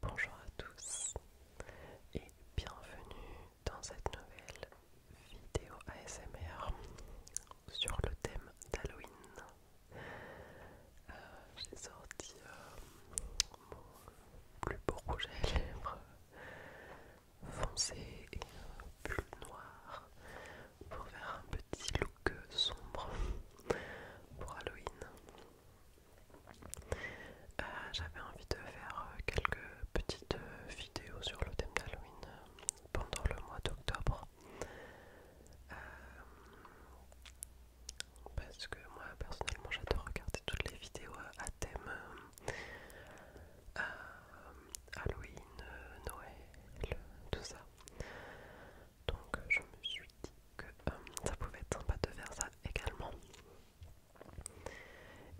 Bonjour à tous et bienvenue dans cette nouvelle vidéo ASMR sur le thème d'Halloween. Euh, j'ai sorti euh, mon plus beau rouge à lèvres foncé et plus euh, noir pour faire un petit look sombre pour Halloween. Euh, j'avais envie de faire quelques petites vidéos sur le thème d'Halloween pendant le mois d'octobre. Euh, parce que moi personnellement j'adore regarder toutes les vidéos à thème euh, Halloween, Noël, tout ça donc je me suis dit que euh, ça pouvait être sympa de faire ça également.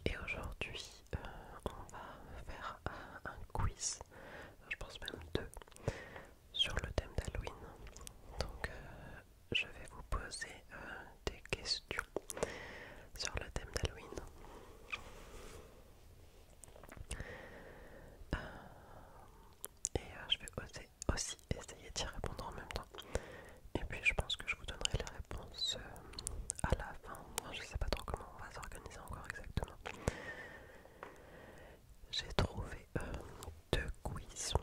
Et aujourd'hui, euh, on va faire euh, un, quiz, je pense même deux, sur le thème d'Halloween. Donc, je vais vous poser des questions sur le thème d'Halloween. Euh, et euh, je vais oser, aussi essayer d'y répondre en même temps. Et puis je pense que je vous donnerai les réponses euh, à la fin. Je je sais pas trop comment on va s'organiser encore exactement. J'ai trouvé deux quiz.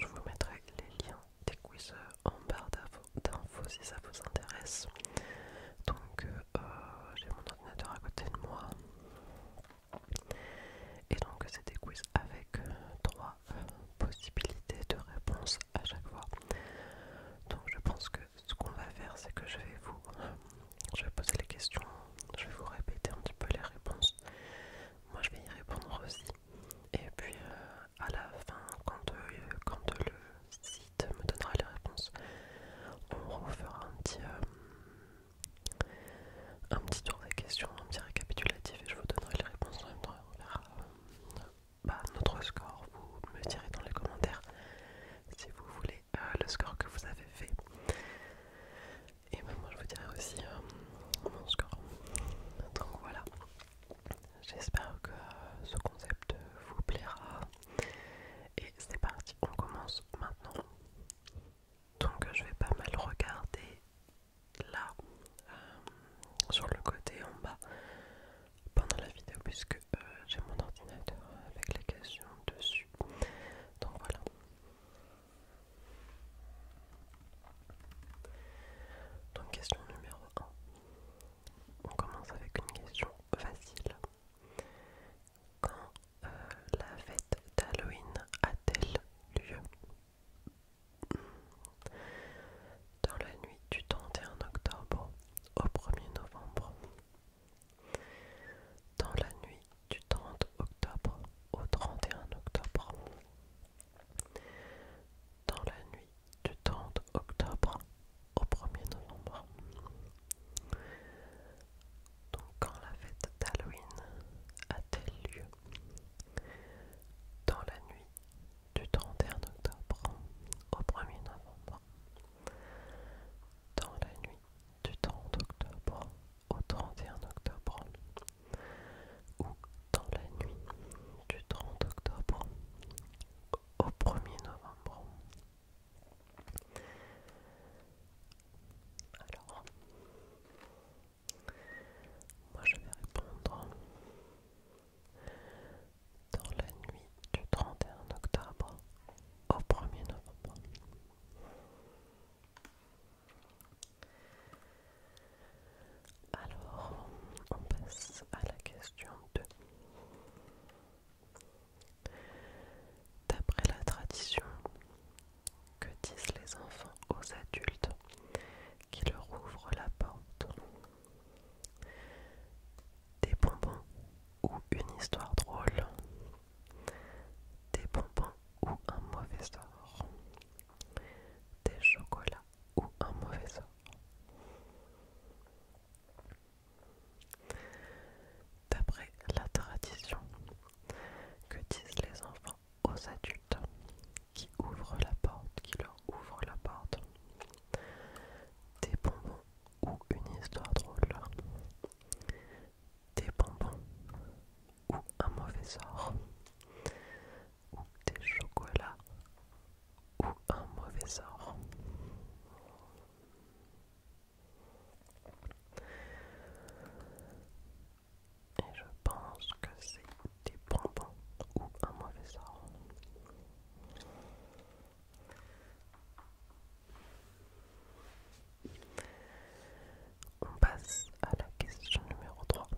je vous mettrai les liens des quiz en barre d'infos si ça vous intéresse. Donc euh, j'ai mon ordinateur à côté de moi. Et donc c'est des quiz avec euh, trois euh, possibilités de réponse à chaque fois. Donc je pense que ce qu'on va faire c'est que je vais vous... je vais poser les questions, je vais vous répéter un petit peu les réponses. Moi je vais y répondre aussi. Et puis à la fin, quand, quand le me donnera les réponses. On vous un euh, un petit tour des questions, un petit récapitulatif et je vous donnerai les réponses en même temps. On verra euh, bah, notre score. Vous me direz dans les commentaires si vous voulez euh, le score que vous avez fait. Et ben, moi je vous dirai aussi mon score. Donc voilà. J'espère que ce concept vous plaira. Et c'est parti, on commence maintenant. Donc je vais pas mal regarder là, euh, sur le côté en bas, pendant la vidéo, puisque euh, j'ai mon ordinateur avec les questions dessus. Donc voilà. Donc question numéro 1. On commence avec une question facile. Quand euh, la fête d'Halloween a-t-elle lieu hmm. Dans la nuit du 31 octobre au 1er novembre. Dans la nuit du 30 octobre au 31 octobre. Dans la nuit du 30 octobre au 1er novembre. Donc quand la fête d'Halloween a-t-elle lieu Dans la nuit du 31 octobre au 1er novembre. Dans la nuit du 30 octobre au 31 octobre. Ou dans la nuit du 30 octobre au 1er novembre. Alors, moi je vais répondre dans la nuit du 31 octobre au 1er novembre. Alors, on passe à la question 2. D'après la tradition, que disent les enfants aux adultes qui leur ouvrent la porte Des bonbons ou une histoire drôle Des bonbons ou un mauvais sort Des chocolats ou un mauvais sort D'après la tradition que disent les enfants aux adultes qui ouvrent la porte, qui leur ouvrent la porte, des bonbons ou une histoire drôle, des bonbons ou un mauvais sort, ou des chocolats ou un mauvais sort. Et je pense que c'est des bonbons ou un mauvais sort. On passe à la question numéro 3.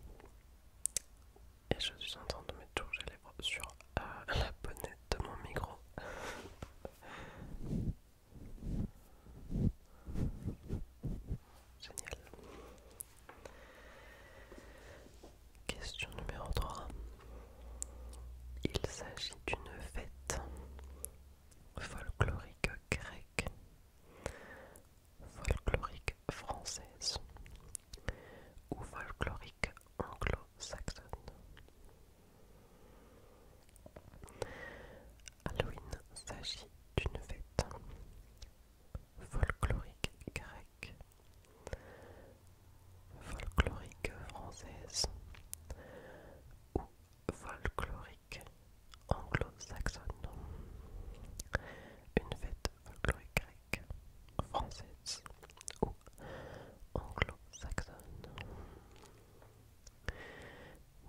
Et je suis en train de mettre toujours les lèvres sur euh, la bonnette de mon micro. Génial. Question numéro 3. Il s'agit d'une fête folklorique grecque, folklorique française ou folklorique anglo-saxonne. Halloween s'agit d'une fête folklorique grecque, folklorique française ou folklorique anglo-saxonne. Une fête folklorique grecque, française ou anglo-saxonne.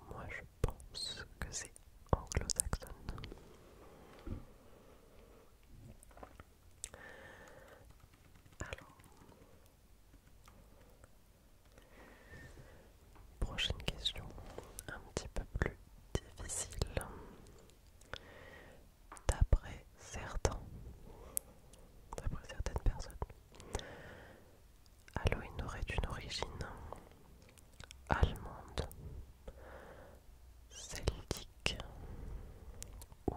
Moi je pense que c'est anglo-saxonne. Alors, prochaine question, un petit peu plus difficile. D'après certains, d'après certaines personnes, Halloween aurait une origine allemande, celtique ou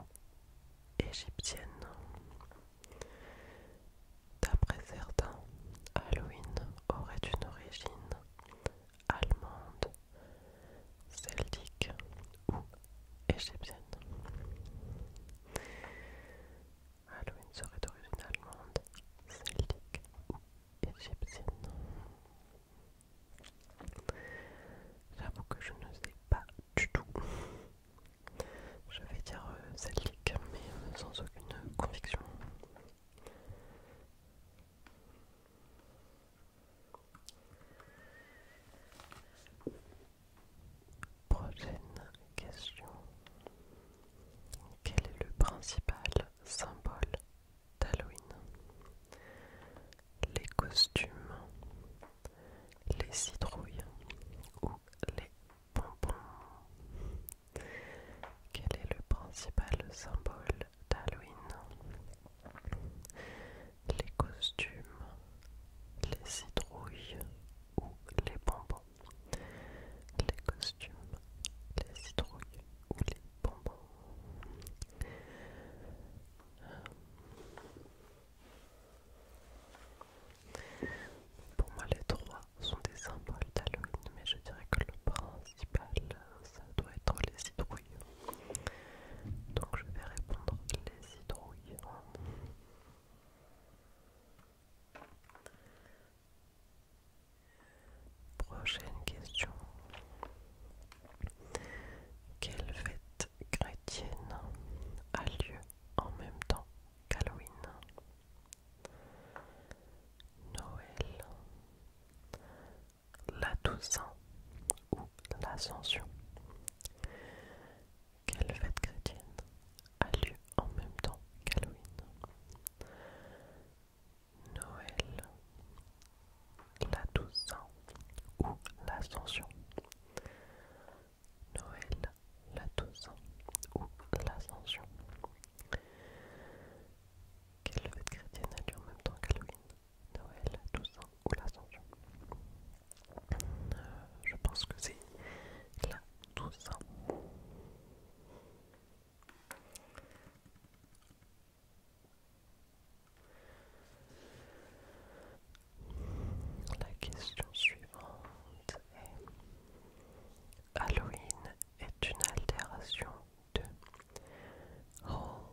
égyptienne. D'après certains, Halloween aurait une origine allemande, celtique ou égyptienne. Halloween serait d'origine allemande, celtique ou égyptienne. J'avoue que je ne sais pas du tout. Je vais dire euh, celtique, mais euh, sans aucune conviction. Prochaine question. Quel est le principal symbole d'Halloween Les costumes, les citrouilles ou les pompons Quel est le principal symbole d'Halloween Les costumes, les citrouilles ou les bonbons, les costumes, les citrouilles ou les bonbons. Euh, pour moi, les trois sont des symboles d'Halloween, mais je dirais que le principal, ça doit être les citrouilles. Donc, je vais répondre les citrouilles. Prochaine question. Quelle fête chrétienne a lieu en même temps qu'Halloween Noël, la Toussaint ou l'Ascension quelle fête chrétienne a lieu en même temps qu'Halloween Noël, la Toussaint ou l'Ascension Noël, la Toussaint ou l'Ascension quelle fête chrétienne a lieu en même temps qu'Halloween Noël, Toussaint ou l'Ascension euh, je pense que c'est là tout ça. La question suivante est Halloween est une altération de Oh,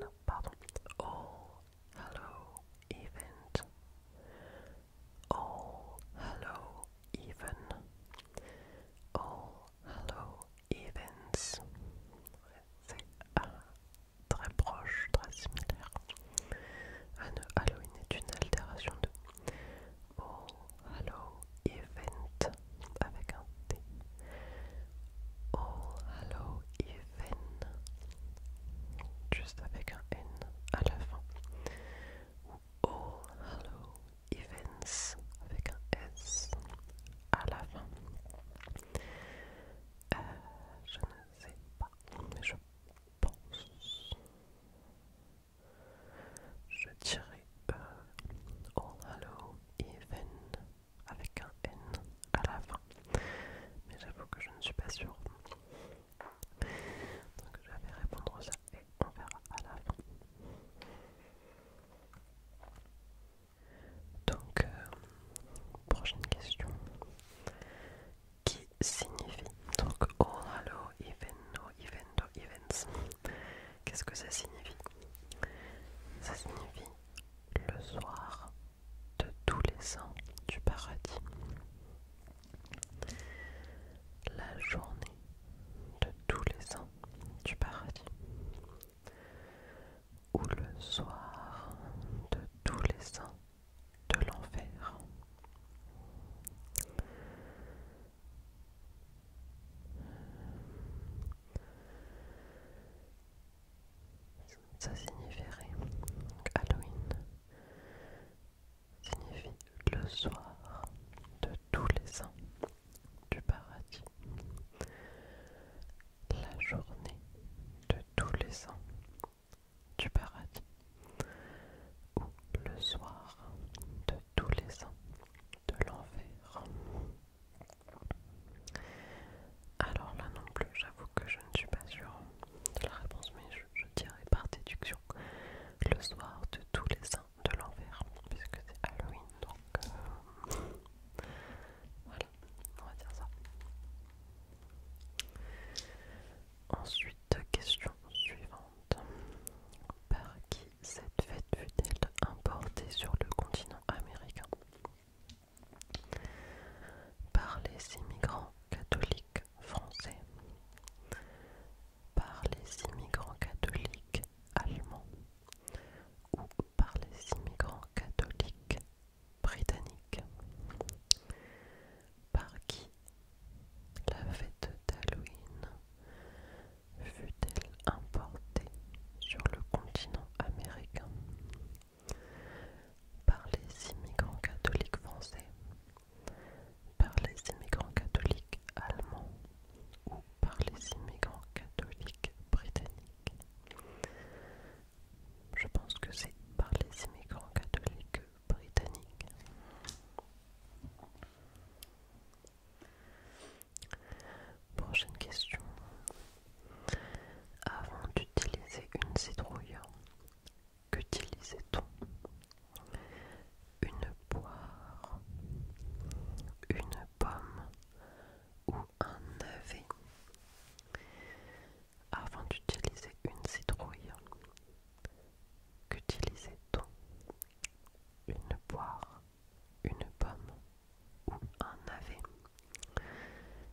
non, pardon, Oh, hello event Oh, hello even Oh, hello events c'est euh, très proche, très similaire un Halloween est une altération de all hello event avec un T Oh, hello event juste avec un N à la fin ou All Hello Events avec un S à la fin. Euh, je ne sais pas, mais je pense. Je dirais All euh, oh Hello events avec un N à la fin. Mais j'avoue que je ne suis pas sûre. Donc je vais répondre ça et on verra à la fin. Donc, euh, prochaine question. Qui signifie Donc, no, eveno, evento, events. Qu'est-ce que ça signifie Ça signifie le soir de tous les saints du paradis. La journée de tous les saints du paradis ou le soir de tous les saints de l'enfer. Ça signifierait Halloween signifie le soir de tous les ans du paradis, la journée de tous les ans du paradis, ou le soir de tous les ans de l'enfer. Alors là non plus, j'avoue que je ne suis pas sûre de la réponse, mais je dirais par déduction le soir de tous les saints de l'enfer, puisque c'est Halloween, donc euh, voilà, on va dire ça. Ensuite, question suivante. Par qui cette fête fut-elle importée sur le continent américain Par les immigrants catholiques français par les immigrants catholiques allemands ou par les immigrants catholiques britanniques par qui la fête d'Halloween fut-elle importée sur le continent américain par les immigrants catholiques français par les immigrants catholiques allemands ou par les immigrants catholiques britanniques. Je pense que c'est par les immigrants catholiques britanniques. Prochaine question. Avant d'utiliser une citrouille, Qu'utilisait-on Une poire, une pomme ou un navet Avant d'utiliser une citrouille, qu'utilisait-on Une poire, une pomme ou un navet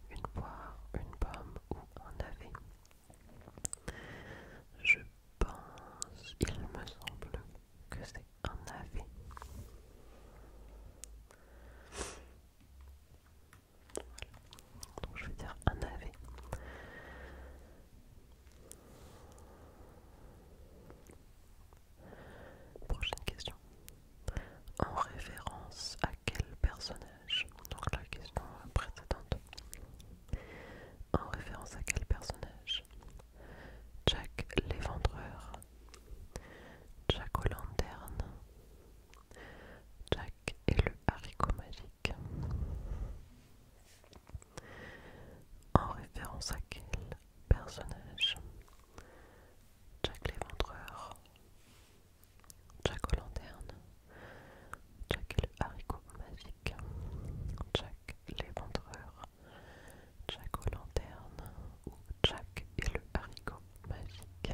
Une poire, une pomme ou un navet je pense, il me semble que c'est un AV. Voilà. Donc je vais dire un AV. Prochaine question. En référence à quel personnage Donc la question précédente. En référence à quel personnage Jack l'éventreur, Jack aux lanternes, Jack et le haricot magique. En référence à quel personnage Jack l'éventreur, Jack aux lanternes, Jack le haricot magique, Jack l'éventreur, Jack aux lanternes ou Jack et le haricot magique.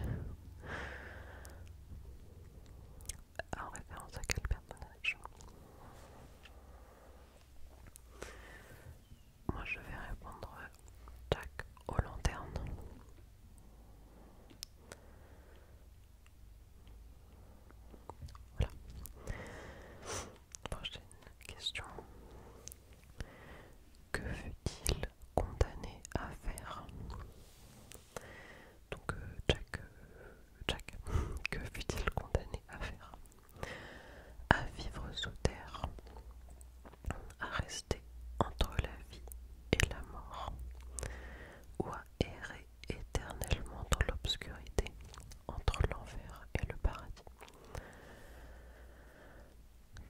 En référence à quel personnage Moi je vais répondre Jack aux lanternes. Voilà. Prochaine question. Que fut-il condamné à faire Donc euh, Jack, euh, Jack, que fut-il condamné à faire À vivre sous terre, à rester entre la vie et la mort, ou à errer éternellement dans l'obscurité entre l'enfer et le paradis.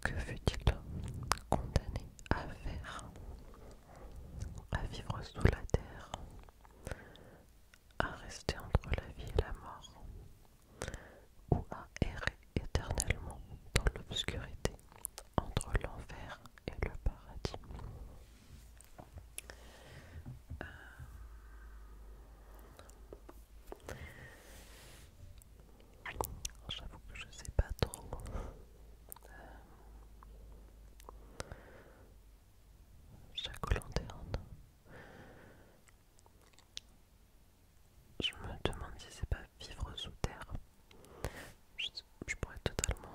Que fut-il condamné à faire À vivre sous la terre, à rester entre la vie et la mort, ou à errer éternellement dans l'obscurité entre l'enfer et le paradis. Euh, j'avoue que je sais pas trop. Euh, chaque lanterne. Je me demande si c'est pas vivre sous terre. je pourrais totalement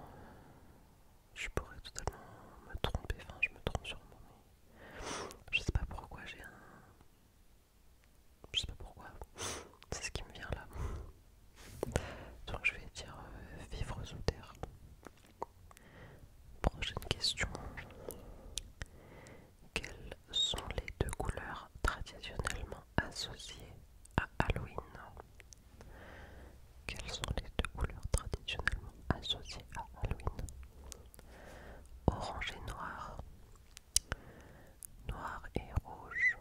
je pourrais totalement me tromper, enfin je me trompe sur moi mais je sais pas pourquoi j'ai un... Je sais pas pourquoi, c'est ce qui me vient là. Donc je vais dire euh, vivre sous terre. Prochaine question. Quelles sont les deux couleurs traditionnellement associées à Halloween quelles sont les deux couleurs traditionnellement associées à Halloween Orange et noir, noir et rouge,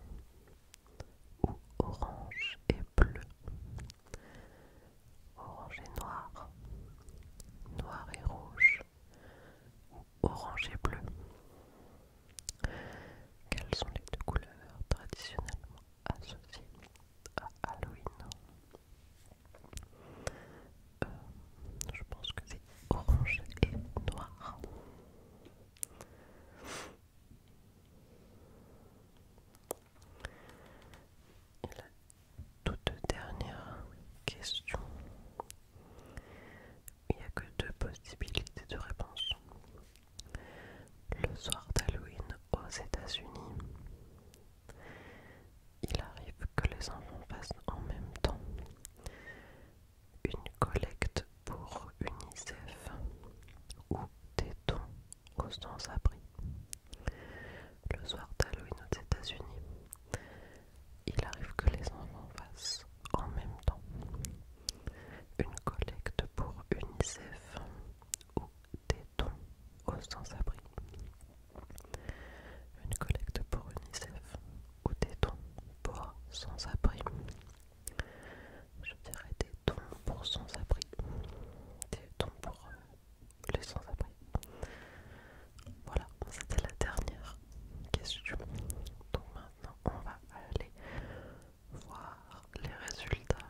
ou orange et bleu. Orange et noir, noir et rouge, ou orange et bleu. Quelles sont les deux couleurs traditionnellement associé à Halloween. Euh, je pense que c'est orange et noir. Et la toute dernière question. Il n'y a que deux possibilités de réponse. Le soir d'Halloween aux États-Unis il arrive que les enfants fassent en même temps une collecte pour UNICEF ou des dons aux sans-abri. Le soir d'Halloween aux États-Unis, il arrive que les enfants fassent en même temps une collecte pour UNICEF ou des dons aux sans-abri. Une collecte pour UNICEF ou des dons pour sans-abri. Je dirais des dons pour sans-abri. Des dons pour euh, les sans-abri. Voilà, c'était la dernière question. Donc maintenant, on va aller voir les résultats,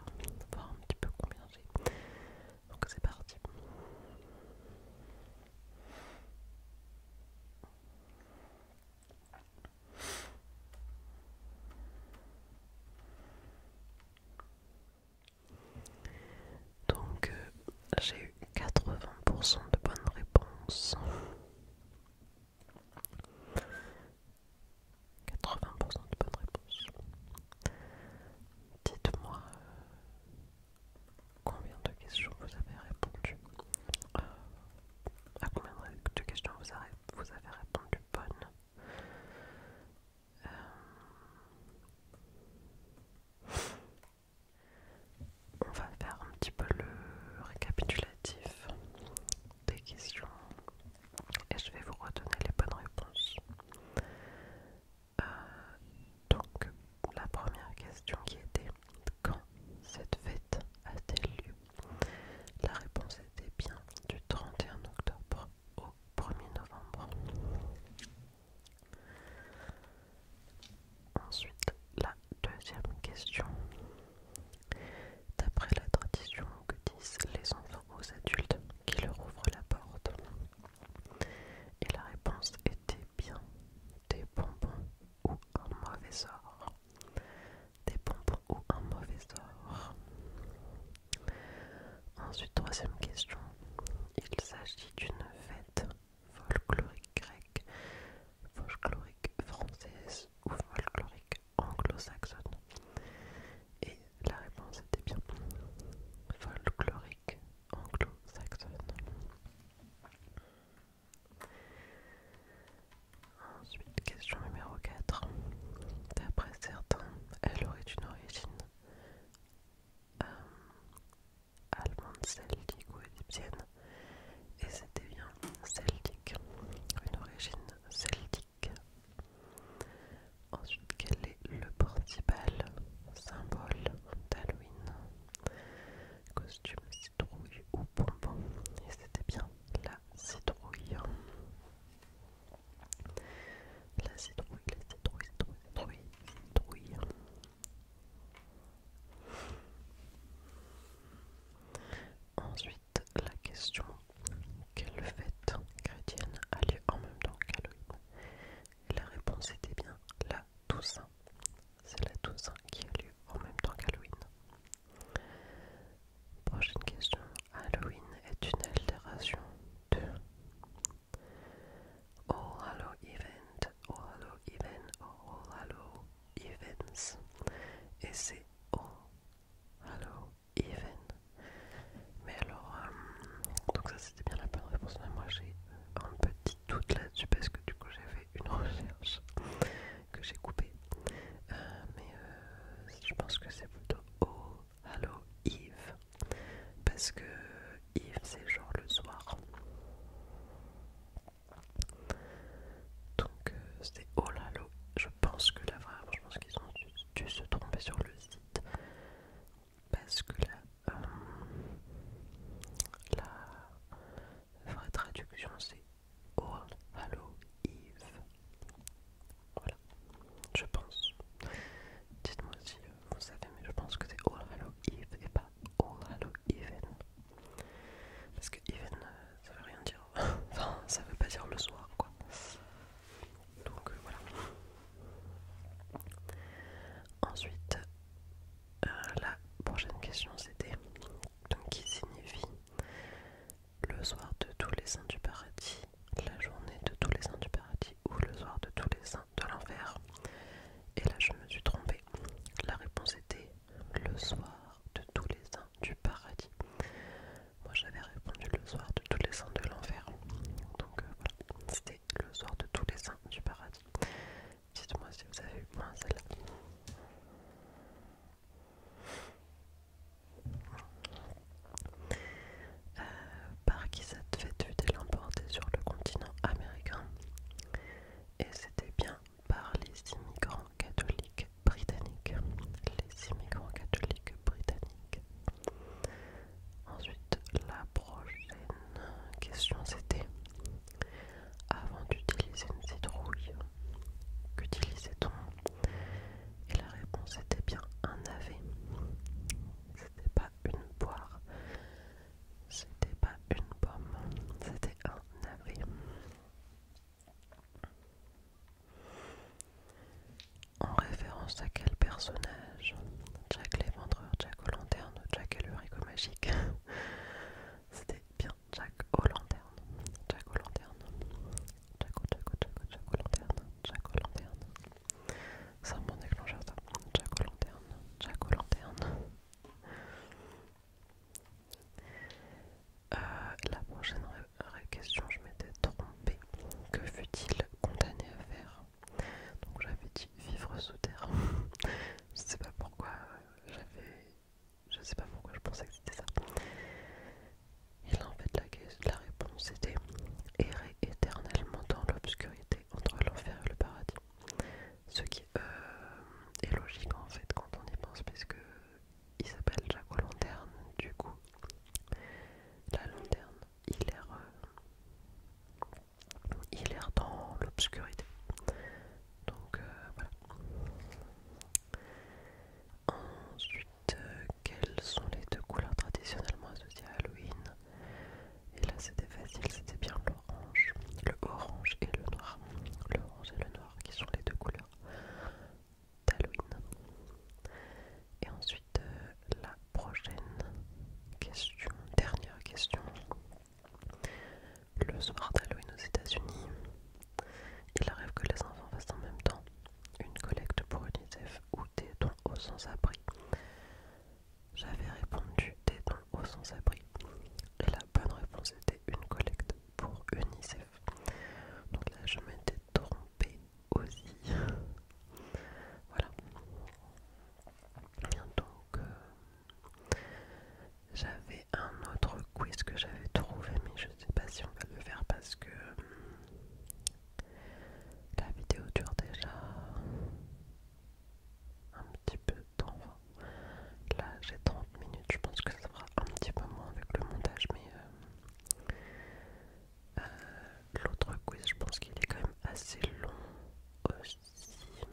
voir un petit peu combien j'ai. Donc c'est parti. Donc euh, j'ai eu 80% de bonnes réponses. 80% de bonnes réponses. Dites-moi euh, combien de questions vous avez répondu. Euh, à combien de questions vous avez, répondu bonnes. Euh, on va faire un petit peu le récapitulatif des questions et je vais vous redonner les bonnes réponses. Euh, donc, la première question qui était quand cette fête a-t-elle lieu La réponse était bien du 31 octobre au 1er novembre. Ensuite, la deuxième question. D'après la tradition que disent les enfants aux adultes qui leur ouvrent la porte Et la réponse était bien des bonbons ou un mauvais sort. Des bonbons ou un mauvais sort. Ensuite, troisième question. Il s'agit d'une fête folklorique grecque, folklorique française ou folklorique anglo-saxonne. Et la réponse était bien folklorique anglo-saxonne. Ensuite, question numéro 4. D'après certains, elle aurait une origine euh, allemande, celtique ou égyptienne. Et c'était bien celtique, une origine celtique. Ensuite, quel est le principal symbole d'Halloween Costume citrouille ou bonbon Et c'était bien la citrouille. La citrouille, la citrouille, citrouille, citrouille, citrouille. Ensuite, la question quelle fête chrétienne a lieu en même temps qu'Halloween la réponse était bien la Toussaint. C'est la Toussaint qui a lieu en même temps qu'Halloween. Prochaine question. Halloween est une altération de "oh Hallow Event, "oh Hallow Event, "oh Hallow Events. Et c'est "oh Hallow even. Mais alors, euh, donc ça c'était bien la bonne réponse, mais moi j'ai un petit doute là-dessus parce que du coup j'ai fait une recherche que j'ai coupée. Euh, mais euh, je pense que c'est plutôt oh, hello Yves. Parce que Eve c'est genre le soir. Donc c'était oh là je pense que la vraie je pense qu'ils ont dû, dû se tromper sur le site parce que euh, la vraie traduction c'est All Hallow Eve. Voilà, je pense. Dites-moi si euh, vous savez, mais je pense que c'est All hello Eve et pas All hello Even. Parce que Even, euh, ça veut rien dire. enfin, ça veut pas dire le soir, quoi donc euh, voilà ensuite euh, la prochaine question c'était qui signifie le soir de tous les saints du paradis la journée de tous les saints du paradis ou le soir de tous les saints de l'enfer et là je me suis trompée la réponse était le soir de tous les saints du paradis moi j'avais répondu le soir de tous les saints de l'enfer. Donc euh, voilà, c'était le soir de tous les saints du paradis. Dites-moi si vous avez eu moins celle-là. Euh, par qui cette fête fut-elle importée sur le continent américain Et c'était bien par les immigrants catholiques britanniques. Les immigrants catholiques britanniques. Ensuite, la prochaine question c'était avant d'utiliser une citrouille, qu'utilisait-on Et la réponse était bien un navet. C'était pas une poire, c'était pas une pomme, c'était un navet. En référence à quel personnage Jack Vendreurs, Jack aux lanternes, Jack et le Rico magique. C'était bien Jack aux lanternes, Jack aux lanternes, Jack aux, Jack Jack lanternes, Jack aux lanternes. C'est un bon déclencheur ça. Jack aux lanternes, Jack aux lanternes. Euh, la prochaine question, je m'étais trompée. Que fut-il condamné à faire donc j'avais dit vivre sous terre. je sais pas pourquoi euh, j'avais. Je sais pas pourquoi je pensais que c'était ça. Et là en fait la, réponse était errer éternellement dans l'obscurité entre l'enfer et le paradis. Ce qui euh, est logique en fait quand on y pense parce que il s'appelle Jacques Lanterne du coup. La lanterne il est dans l'obscurité. Donc euh, voilà. Ensuite, euh, quelles sont les deux couleurs traditionnellement associées à Halloween Et là, c'était facile, c'était bien l'orange, le orange et le noir. le orange et le noir qui sont les deux couleurs d'Halloween. Et ensuite, euh, la prochaine question, dernière question. Le soir d'Halloween aux États-Unis, il arrive que les enfants fassent en même temps une collecte pour UNICEF ou des dons aux sans-abri. J'avais répondu des dons aux sans-abri. Et la bonne réponse était une collecte pour UNICEF. Donc là, je m'étais trompée aussi. voilà. Donc, euh, j'avais un autre quiz que j'avais trouvé, mais je sais pas si on va le faire parce que euh, la vidéo dure déjà un petit peu de temps. Là, j'ai 30 minutes, je pense que ça fera un petit peu moins avec le montage, mais euh, euh, l'autre quiz, je pense qu'il est quand même assez long aussi. Euh,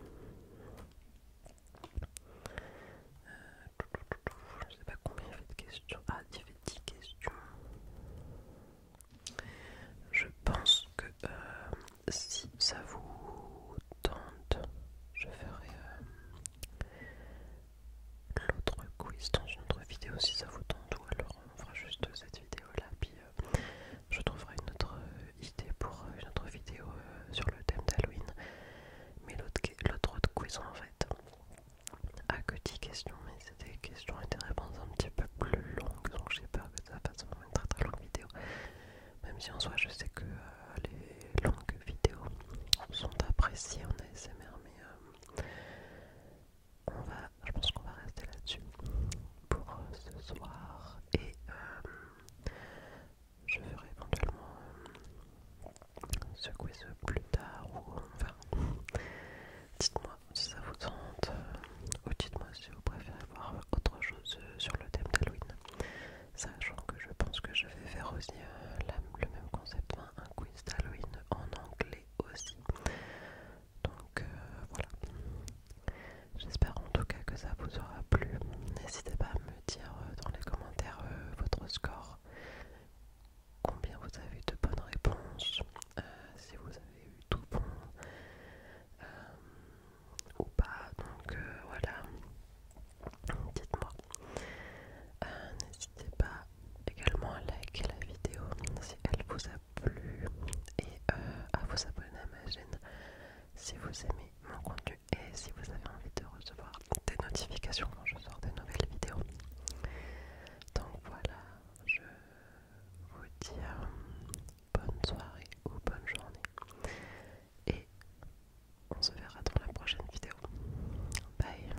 je ne sais pas combien il y avait de questions. Ah, il y avait 10 questions. Je pense que euh, si ça vous tente, je ferai l'autre quiz dans une autre vidéo si ça vous tente, ou alors on fera juste cette vidéo là, je trouverai une autre euh, idée pour euh, une autre vidéo euh, sur le thème d'Halloween. Mais l'autre autre cuisine en fait a que 10 questions, mais c'est des questions et des réponses un petit peu plus longues, donc j'ai peur que ça fasse une très très longue vidéo. Même si en soi je sais que les longues vidéos sont appréciées en ASMR, mais va, je pense qu'on va rester là-dessus pour euh, ce soir et euh, je ferai éventuellement euh, ce quiz plus tard ou enfin dites-moi si ça vous tente ou dites-moi si vous préférez voir autre chose sur le thème d'Halloween sachant que je pense que je vais faire aussi le même concept, un quiz d'Halloween en anglais aussi donc euh, voilà. J'espère en tout cas que ça vous aura plu. N'hésitez pas à me dire euh, dans les commentaires euh, votre score. Combien vous avez eu de bonnes réponses, si vous avez eu tout bon ou pas. Donc voilà, dites-moi. N'hésitez pas également à liker la vidéo si elle vous a et euh, à vous abonner à ma chaîne si vous aimez mon contenu et si vous avez envie de recevoir des notifications quand je sors de nouvelles vidéos. Donc voilà, je vous dis euh, bonne soirée ou bonne journée et on se verra dans la prochaine vidéo. Bye